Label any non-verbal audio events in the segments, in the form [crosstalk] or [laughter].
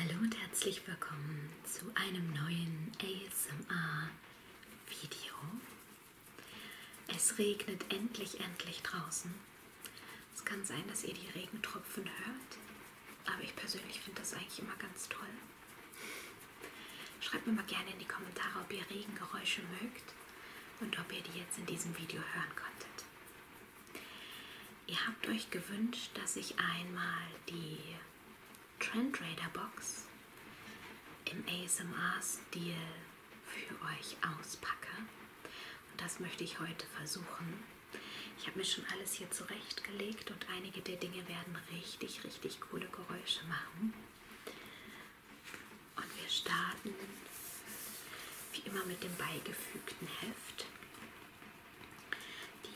Hallo und herzlich willkommen zu einem neuen ASMR-Video. Es regnet endlich, endlich draußen. Es kann sein, dass ihr die Regentropfen hört, aber ich persönlich finde das eigentlich immer ganz toll. Schreibt mir mal gerne in die Kommentare, ob ihr Regengeräusche mögt und ob ihr die jetzt in diesem Video hören konntet. Ihr habt euch gewünscht, dass ich einmal die Trendrader Box im ASMR-Stil für euch auspacke. Und das möchte ich heute versuchen. Ich habe mir schon alles hier zurechtgelegt und einige der Dinge werden richtig, richtig coole Geräusche machen. Und wir starten wie immer mit dem beigefügten Heft.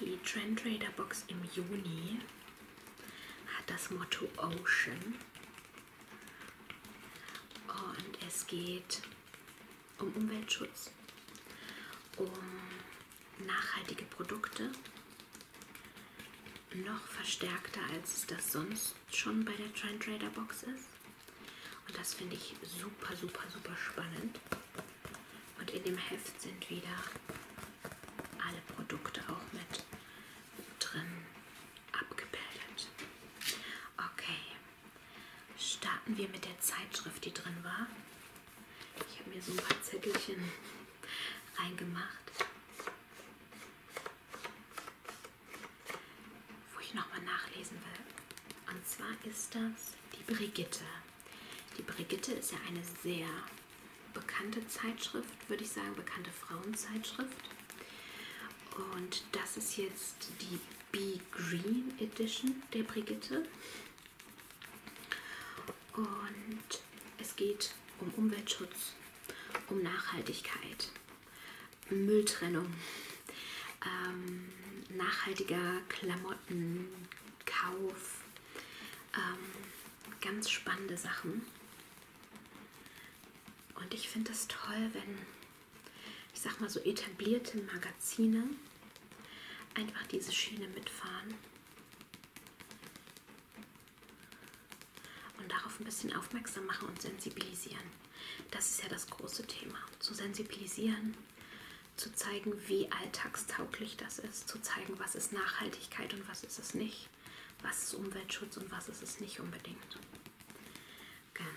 Die Trend Trader Box im Juni hat das Motto Ocean und es geht um Umweltschutz, um nachhaltige Produkte, noch verstärkter als das sonst schon bei der Trend Trader Box ist. Und das finde ich super, super, super spannend. Und in dem Heft sind wieder alle Produkte auch mit drin abgebildet. Okay, starten wir mit der Zeitschrift, die drin war. Ich habe mir so ein paar Zettelchen [laughs] reingemacht, wo ich nochmal nachlesen will. Und zwar ist das die Brigitte. Die Brigitte ist ja eine sehr bekannte Zeitschrift, würde ich sagen, bekannte Frauenzeitschrift. Und das ist jetzt die Be Green Edition der Brigitte. Und es geht um Umweltschutz, um Nachhaltigkeit, Mülltrennung ähm, nachhaltiger Klamottenkauf, ähm, ganz spannende Sachen. Und ich finde es toll, wenn, ich sag mal so etablierte Magazine einfach diese Schiene mitfahren und darauf ein bisschen aufmerksam machen und sensibilisieren. Das ist ja das große Thema, zu sensibilisieren zu zeigen, wie alltagstauglich das ist, zu zeigen, was ist Nachhaltigkeit und was ist es nicht, was ist Umweltschutz und was ist es nicht unbedingt. Genau,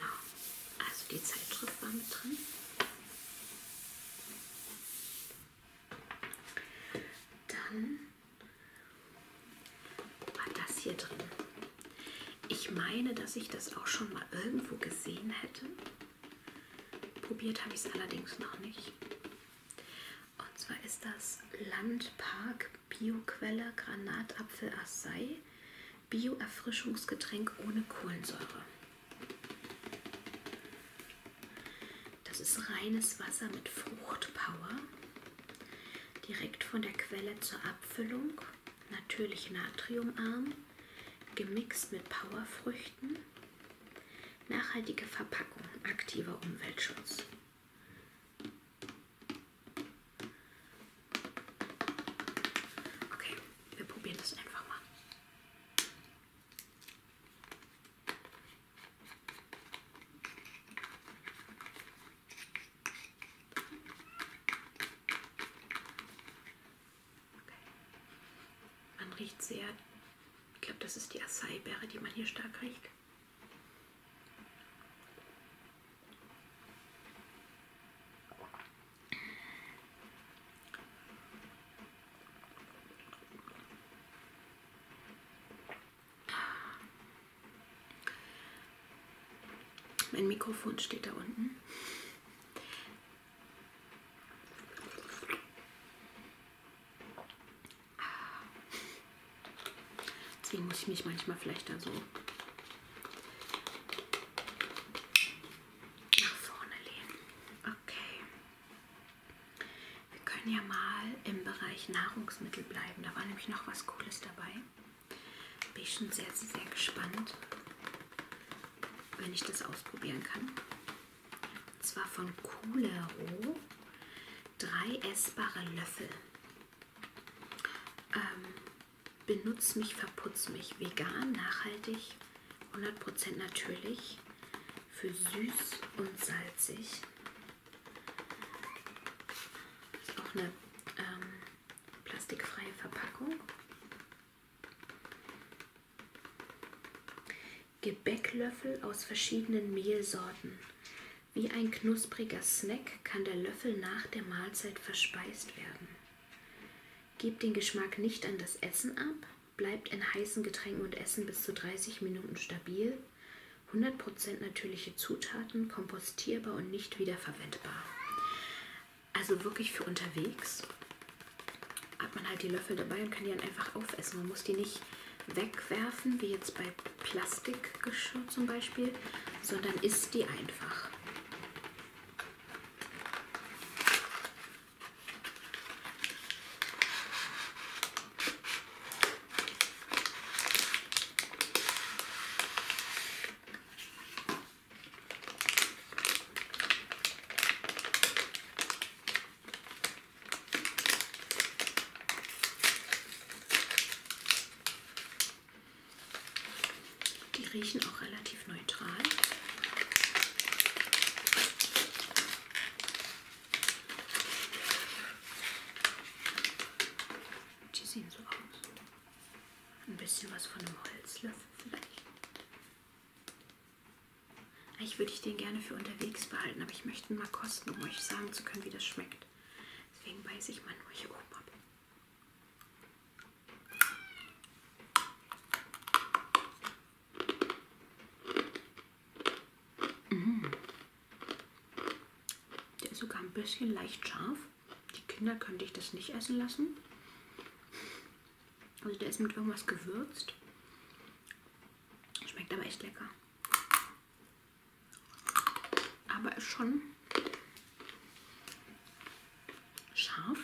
also die Zeitschrift war mit drin. Dann war das hier drin. Ich meine, dass ich das auch schon mal irgendwo gesehen hätte. Probiert habe ich es allerdings noch nicht. Und zwar ist das Landpark Bioquelle Granatapfel Acai Bio-Erfrischungsgetränk ohne Kohlensäure. Das ist reines Wasser mit Fruchtpower. Direkt von der Quelle zur Abfüllung. Natürlich natriumarm gemixt mit Powerfrüchten. Nachhaltige Verpackung, aktiver Umweltschutz. Okay, wir probieren das einfach mal. Okay. Man riecht sehr, ich glaube, das ist die Acai-Beere, die man hier stark riecht. Mein Mikrofon steht da unten. Deswegen muss ich mich manchmal vielleicht da so nach vorne lehnen. Okay. Wir können ja mal im Bereich Nahrungsmittel bleiben. Da war nämlich noch was Cooles dabei. Bin ich schon sehr, sehr gespannt wenn ich das ausprobieren kann. Und zwar von Coolero drei essbare Löffel. Ähm, benutz mich, verputz mich. Vegan, nachhaltig, 100% natürlich. Für süß und salzig. Ist auch eine ähm, plastikfreie Verpackung. Gebäcklöffel aus verschiedenen Mehlsorten. Wie ein knuspriger Snack kann der Löffel nach der Mahlzeit verspeist werden. Gebt den Geschmack nicht an das Essen ab, bleibt in heißen Getränken und Essen bis zu 30 Minuten stabil. 100% natürliche Zutaten, kompostierbar und nicht wiederverwendbar also wirklich für unterwegs hat man halt die Löffel dabei und kann die dann einfach aufessen. Man muss die nicht wegwerfen, wie jetzt bei Plastikgeschirr zum Beispiel, sondern isst die einfach. Die riechen auch relativ neutral. Die sehen so aus. Ein bisschen was von einem Holzlöffel vielleicht. Eigentlich ah, würde ich den gerne für unterwegs behalten, aber ich möchte ihn mal kosten, um euch sagen zu können, wie das schmeckt. Deswegen beiße ich mal nur hier oben ab. Mmh. Der ist sogar ein bisschen leicht scharf. Die Kinder könnte ich das nicht essen lassen. Also der ist mit irgendwas gewürzt. Schmeckt aber echt lecker. Aber ist schon scharf.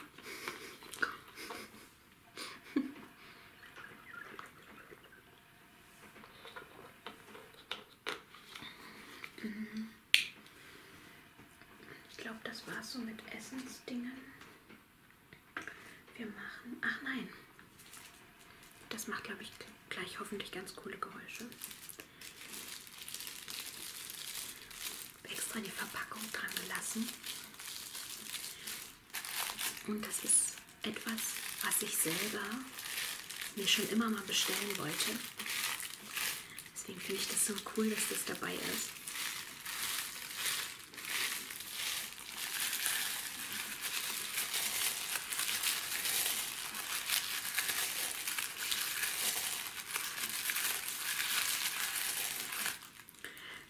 [laughs] mm ich glaube, das war's so mit Essensdingen. Wir machen. Ach nein. Das macht, glaube ich, gleich hoffentlich ganz coole Geräusche. Extra die Verpackung dran gelassen. Und das ist etwas, was ich selber mir schon immer mal bestellen wollte. Deswegen finde ich das so cool, dass das dabei ist.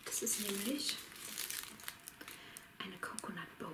Das ist nämlich eine Coconut Bowl.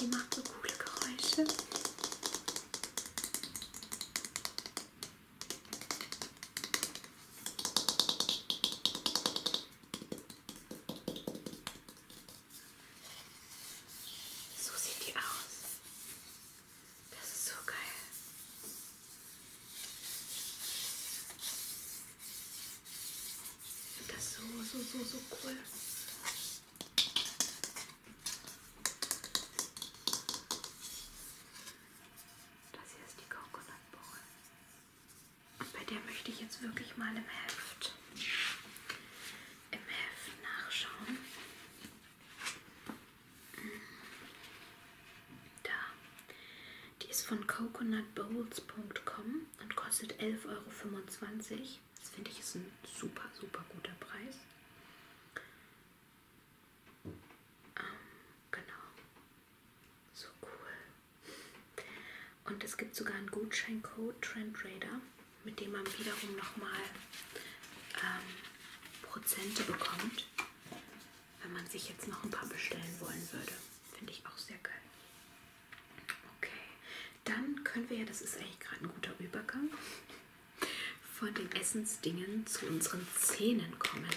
Die macht so coole Geräusche. So sieht die aus. Das ist so geil. Ich finde das so, so, so, so cool. Das hier ist die Coconut Bowl. Und bei der möchte ich jetzt wirklich mal im Heft, im Heft nachschauen. Da. Die ist von coconutbowls.com und kostet 11,25 Euro. Das finde ich ist ein super, super guter Preis. Ähm, genau. So cool. Und es gibt sogar einen Gutscheincode TrendRadar, mit dem man wiederum nochmal ähm, Prozente bekommt, wenn man sich jetzt noch ein paar bestellen wollen würde. Finde ich auch sehr geil. Okay, dann können wir ja, das ist eigentlich gerade ein guter Übergang, von den Essensdingen zu unseren Zähnen kommen.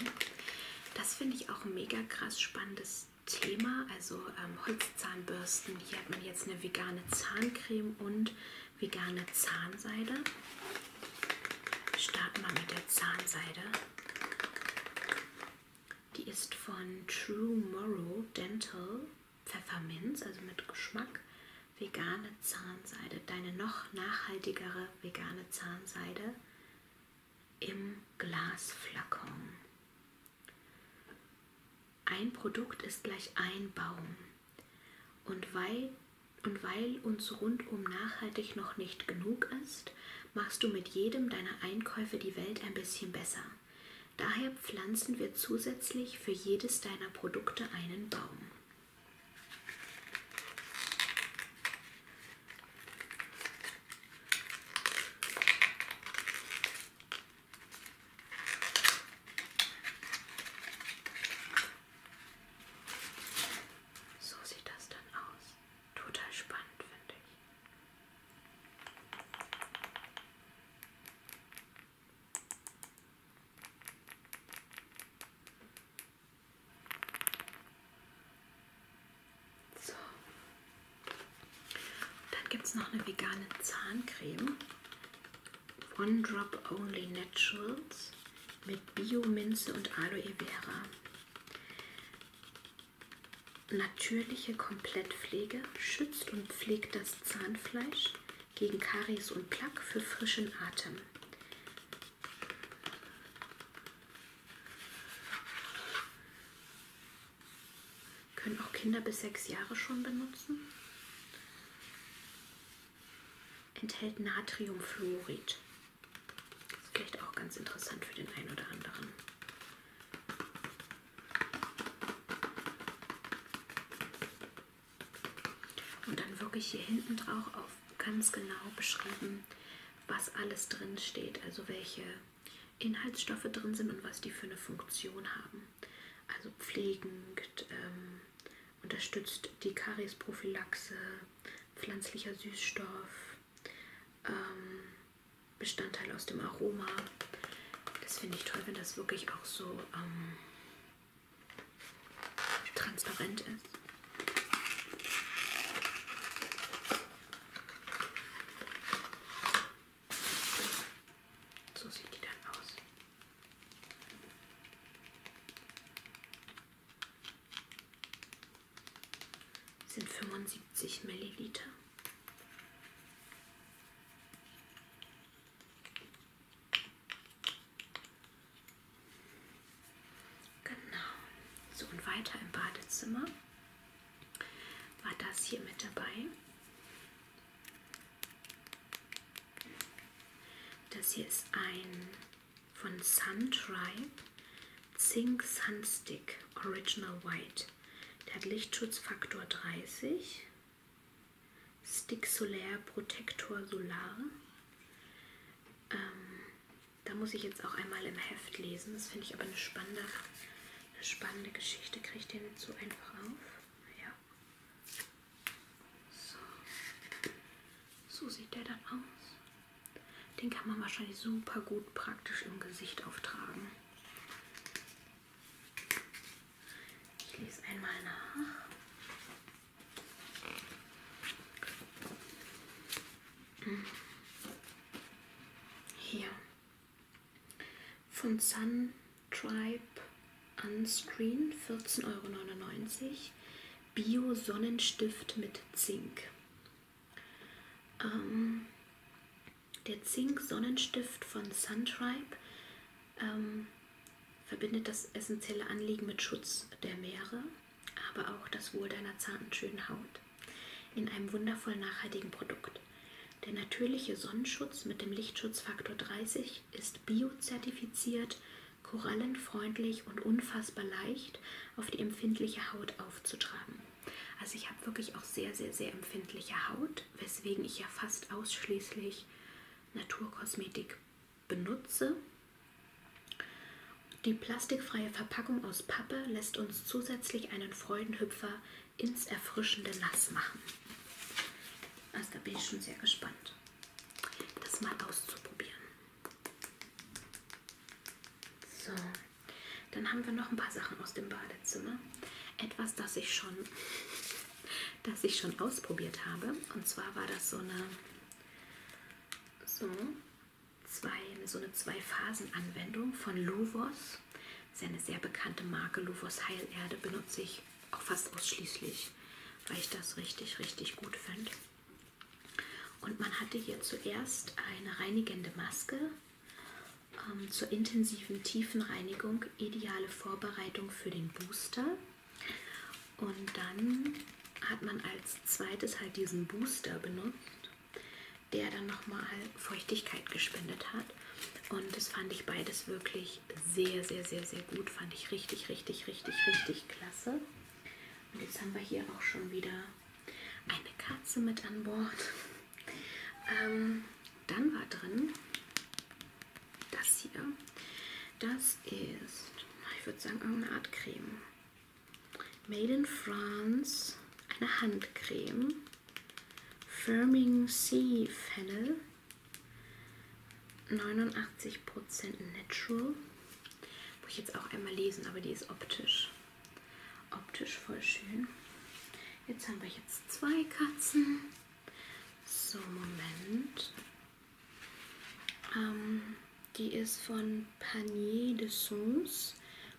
Das finde ich auch ein mega krass spannendes Thema. Also ähm, Holzzahnbürsten, hier hat man jetzt eine vegane Zahncreme und vegane Zahnseide. Starten wir mit der Zahnseide. Die ist von True Morrow Dental Pfefferminz, also mit Geschmack. Vegane Zahnseide, deine noch nachhaltigere vegane Zahnseide im Glasflakon. Ein Produkt ist gleich ein Baum. Und weil, und weil uns rundum nachhaltig noch nicht genug ist, machst du mit jedem deiner Einkäufe die Welt ein bisschen besser. Daher pflanzen wir zusätzlich für jedes deiner Produkte einen Baum. So sieht das dann aus. Total spannend, finde ich. So. Dann gibt es noch eine vegane Zahncreme. One Drop Only Naturals mit Bio-Minze und Aloe Vera. Natürliche Komplettpflege schützt und pflegt das Zahnfleisch gegen Karies und Plaque für frischen Atem. Können auch Kinder bis sechs Jahre schon benutzen. Enthält Natriumfluorid. Vielleicht auch ganz interessant für den einen oder anderen. Und dann wirklich hier hinten drauf auf ganz genau beschrieben, was alles drin steht, also welche Inhaltsstoffe drin sind und was die für eine Funktion haben. Also pflegend, ähm, unterstützt die Kariesprophylaxe, pflanzlicher Süßstoff, ähm, Bestandteil aus dem Aroma. Das finde ich toll, wenn das wirklich auch so ähm, transparent ist. So sieht die dann aus sind 75 Milliliter. Genau. So und weiter im Badezimmer war das hier mit dabei. Das hier ist ein von Sun Tribe Zink Sunstick Original White. Der hat Lichtschutzfaktor 30. Stick Solar Protector Solar. Ähm, da muss ich jetzt auch einmal im Heft lesen. Das finde ich aber eine spannende, eine spannende Geschichte. Kriege ich den jetzt so einfach auf? Ja. So. so sieht der dann aus. Den kann man wahrscheinlich super gut praktisch im Gesicht auftragen. Ich lese einmal nach. Hier. Von Sun Tribe Unscreen 14,99 Euro. Bio-Sonnenstift mit Zink. Ähm, der Zink-Sonnenstift von Suntribe ähm, verbindet das essentielle Anliegen mit Schutz der Meere, aber auch das Wohl deiner zarten, schönen Haut in einem wundervoll nachhaltigen Produkt. Der natürliche Sonnenschutz mit dem Lichtschutzfaktor 30 ist biozertifiziert, korallenfreundlich und unfassbar leicht auf die empfindliche Haut aufzutragen. Also ich habe wirklich auch sehr, sehr, sehr empfindliche Haut, weswegen ich ja fast ausschließlich Naturkosmetik benutze. Die plastikfreie Verpackung aus Pappe lässt uns zusätzlich einen Freudenhüpfer ins erfrischende Nass machen. Also da bin ich schon sehr gespannt, das mal auszuprobieren. So, dann haben wir noch ein paar Sachen aus dem Badezimmer. Etwas, das ich schon, [laughs] das ich schon ausprobiert habe. Und zwar war das so eine, so, zwei, so eine Zwei-Phasen-Anwendung von Luvos. Das ist ja eine sehr bekannte Marke. Luvos Heilerde benutze ich auch fast ausschließlich, weil ich das richtig, richtig gut finde. Und man hatte hier zuerst eine reinigende Maske ähm, zur intensiven Tiefenreinigung, ideale Vorbereitung für den Booster. Und dann hat man als zweites halt diesen Booster benutzt, der dann nochmal Feuchtigkeit gespendet hat. Und das fand ich beides wirklich sehr, sehr, sehr, sehr gut. Fand ich richtig, richtig, richtig, richtig klasse. Und jetzt haben wir hier auch schon wieder eine Katze mit an Bord. Ähm, dann war drin das hier. Das ist, ich würde sagen, irgendeine Art Creme. Made in France, eine Handcreme. Firming Sea Fennel. 89% Natural. Muss ich jetzt auch einmal lesen, aber die ist optisch. Optisch voll schön. Jetzt haben wir jetzt zwei Katzen. So, Moment. Ähm, die ist von Panier de Sons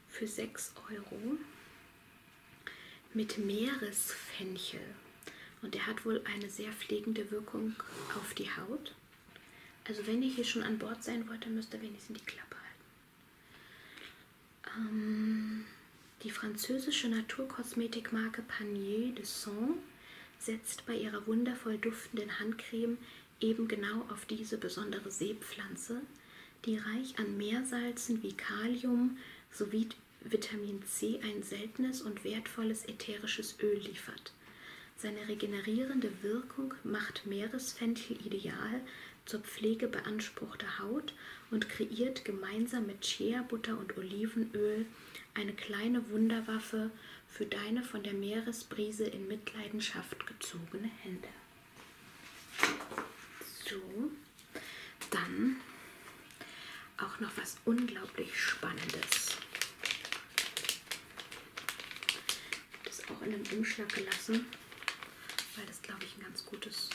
für 6 Euro mit Meeresfenchel. Und der hat wohl eine sehr pflegende Wirkung auf die Haut. Also wenn ihr hier schon an Bord sein wollt, dann müsst ihr wenigstens die Klappe halten. Ähm, die französische Naturkosmetikmarke Panier de Son setzt bei ihrer wundervoll duftenden Handcreme eben genau auf diese besondere Seepflanze, die reich an Meersalzen wie Kalium sowie Vitamin C ein seltenes und wertvolles ätherisches Öl liefert. Kraft. Seine regenerierende Wirkung macht Meeresfenchel ideal zur Pflege beanspruchter Haut und kreiert gemeinsam mit Shea-Butter und Olivenöl eine kleine Wunderwaffe für deine von der Meeresbrise in Mitleidenschaft gezogene Hände. So, dann auch noch was unglaublich Spannendes. Das auch in einem Umschlag gelassen, weil das glaube ich ein ganz gutes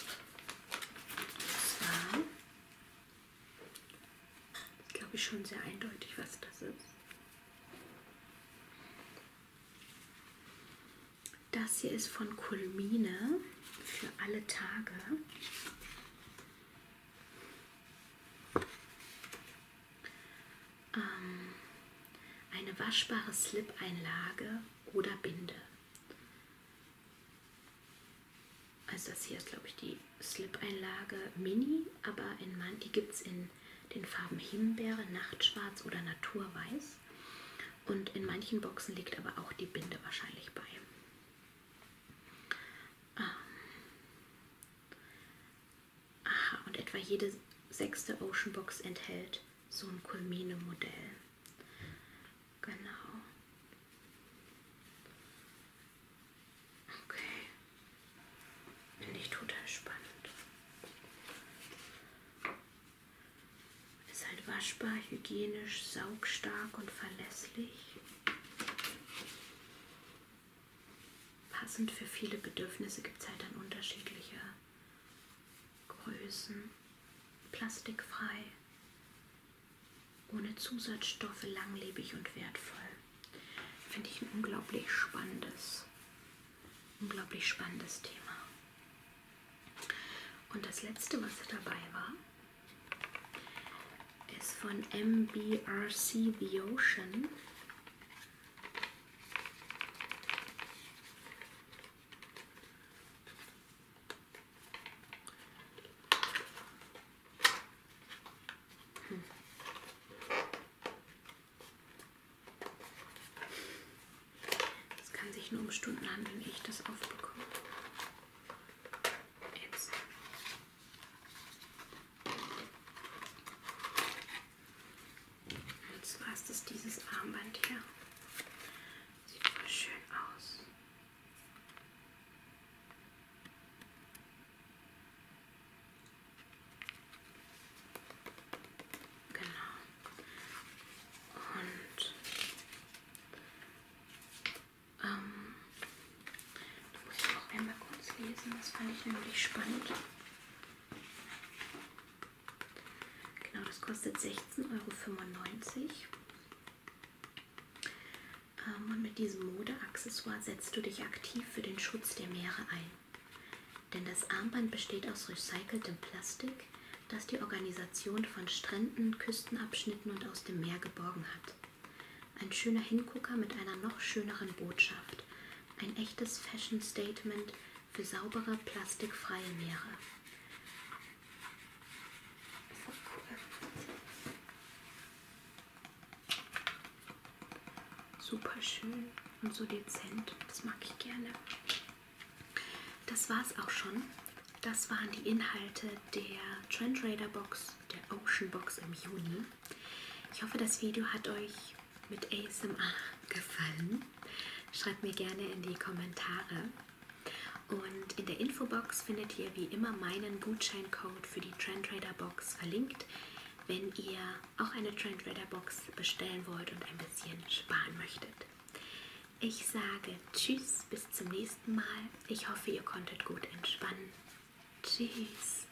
So, so. Ich glaube ich schon sehr eindeutig, was das ist. Das hier ist von Kulmine für alle Tage. Ähm, eine waschbare Slip-Einlage oder Binde. Also das hier ist, glaube ich, die Slip-Einlage Mini, aber in man die gibt es in den Farben Himbeere, Nachtschwarz oder Naturweiß. Und in manchen Boxen liegt aber auch die Binde wahrscheinlich bei. Ähm Aha, und etwa jede sechste Ocean Box enthält so ein Colmene-Modell. Genau. Okay. Finde ich total spannend. Ist halt waschbar, hygienisch, saugstark und verlässlich. Passend für viele Bedürfnisse gibt es halt dann unterschiedliche Größen, plastikfrei, ohne Zusatzstoffe, langlebig und wertvoll. Finde ich ein unglaublich spannendes, unglaublich spannendes Thema. Und das letzte, was dabei war, ist von MBRC The Ocean. Es kann sich nur um Stunden handeln, ehe ich das aufbekomme. Jetzt. Jetzt war es dieses Armband hier. Sieht voll schön aus. Genau. Und ähm, da muss ich auch einmal kurz lesen, das fand ich nämlich spannend. Genau, das kostet 16,95 Euro. Ähm, und mit diesem Modeaccessoire setzt du dich aktiv für den Schutz der Meere ein. Denn das Armband besteht aus recyceltem Plastik, das die Organisation von Stränden, Küstenabschnitten und aus dem Meer geborgen hat. Ein schöner Hingucker mit einer noch schöneren Botschaft. Ein echtes Fashion-Statement für saubere, plastikfreie Meere. So cool. Super schön und so dezent. Das mag ich gerne. Das war's auch schon. Das waren die Inhalte der Trendrader Box, der Ocean Box im Juni. Ich hoffe, das Video hat euch mit ASMR gefallen? Schreibt mir gerne in die Kommentare. Und in der Infobox findet ihr wie immer meinen Gutscheincode für die Trendrader Box verlinkt, wenn ihr auch eine Trendrader Box bestellen wollt und ein bisschen sparen möchtet. Ich sage Tschüss, bis zum nächsten Mal. Ich hoffe, ihr konntet gut entspannen. Tschüss.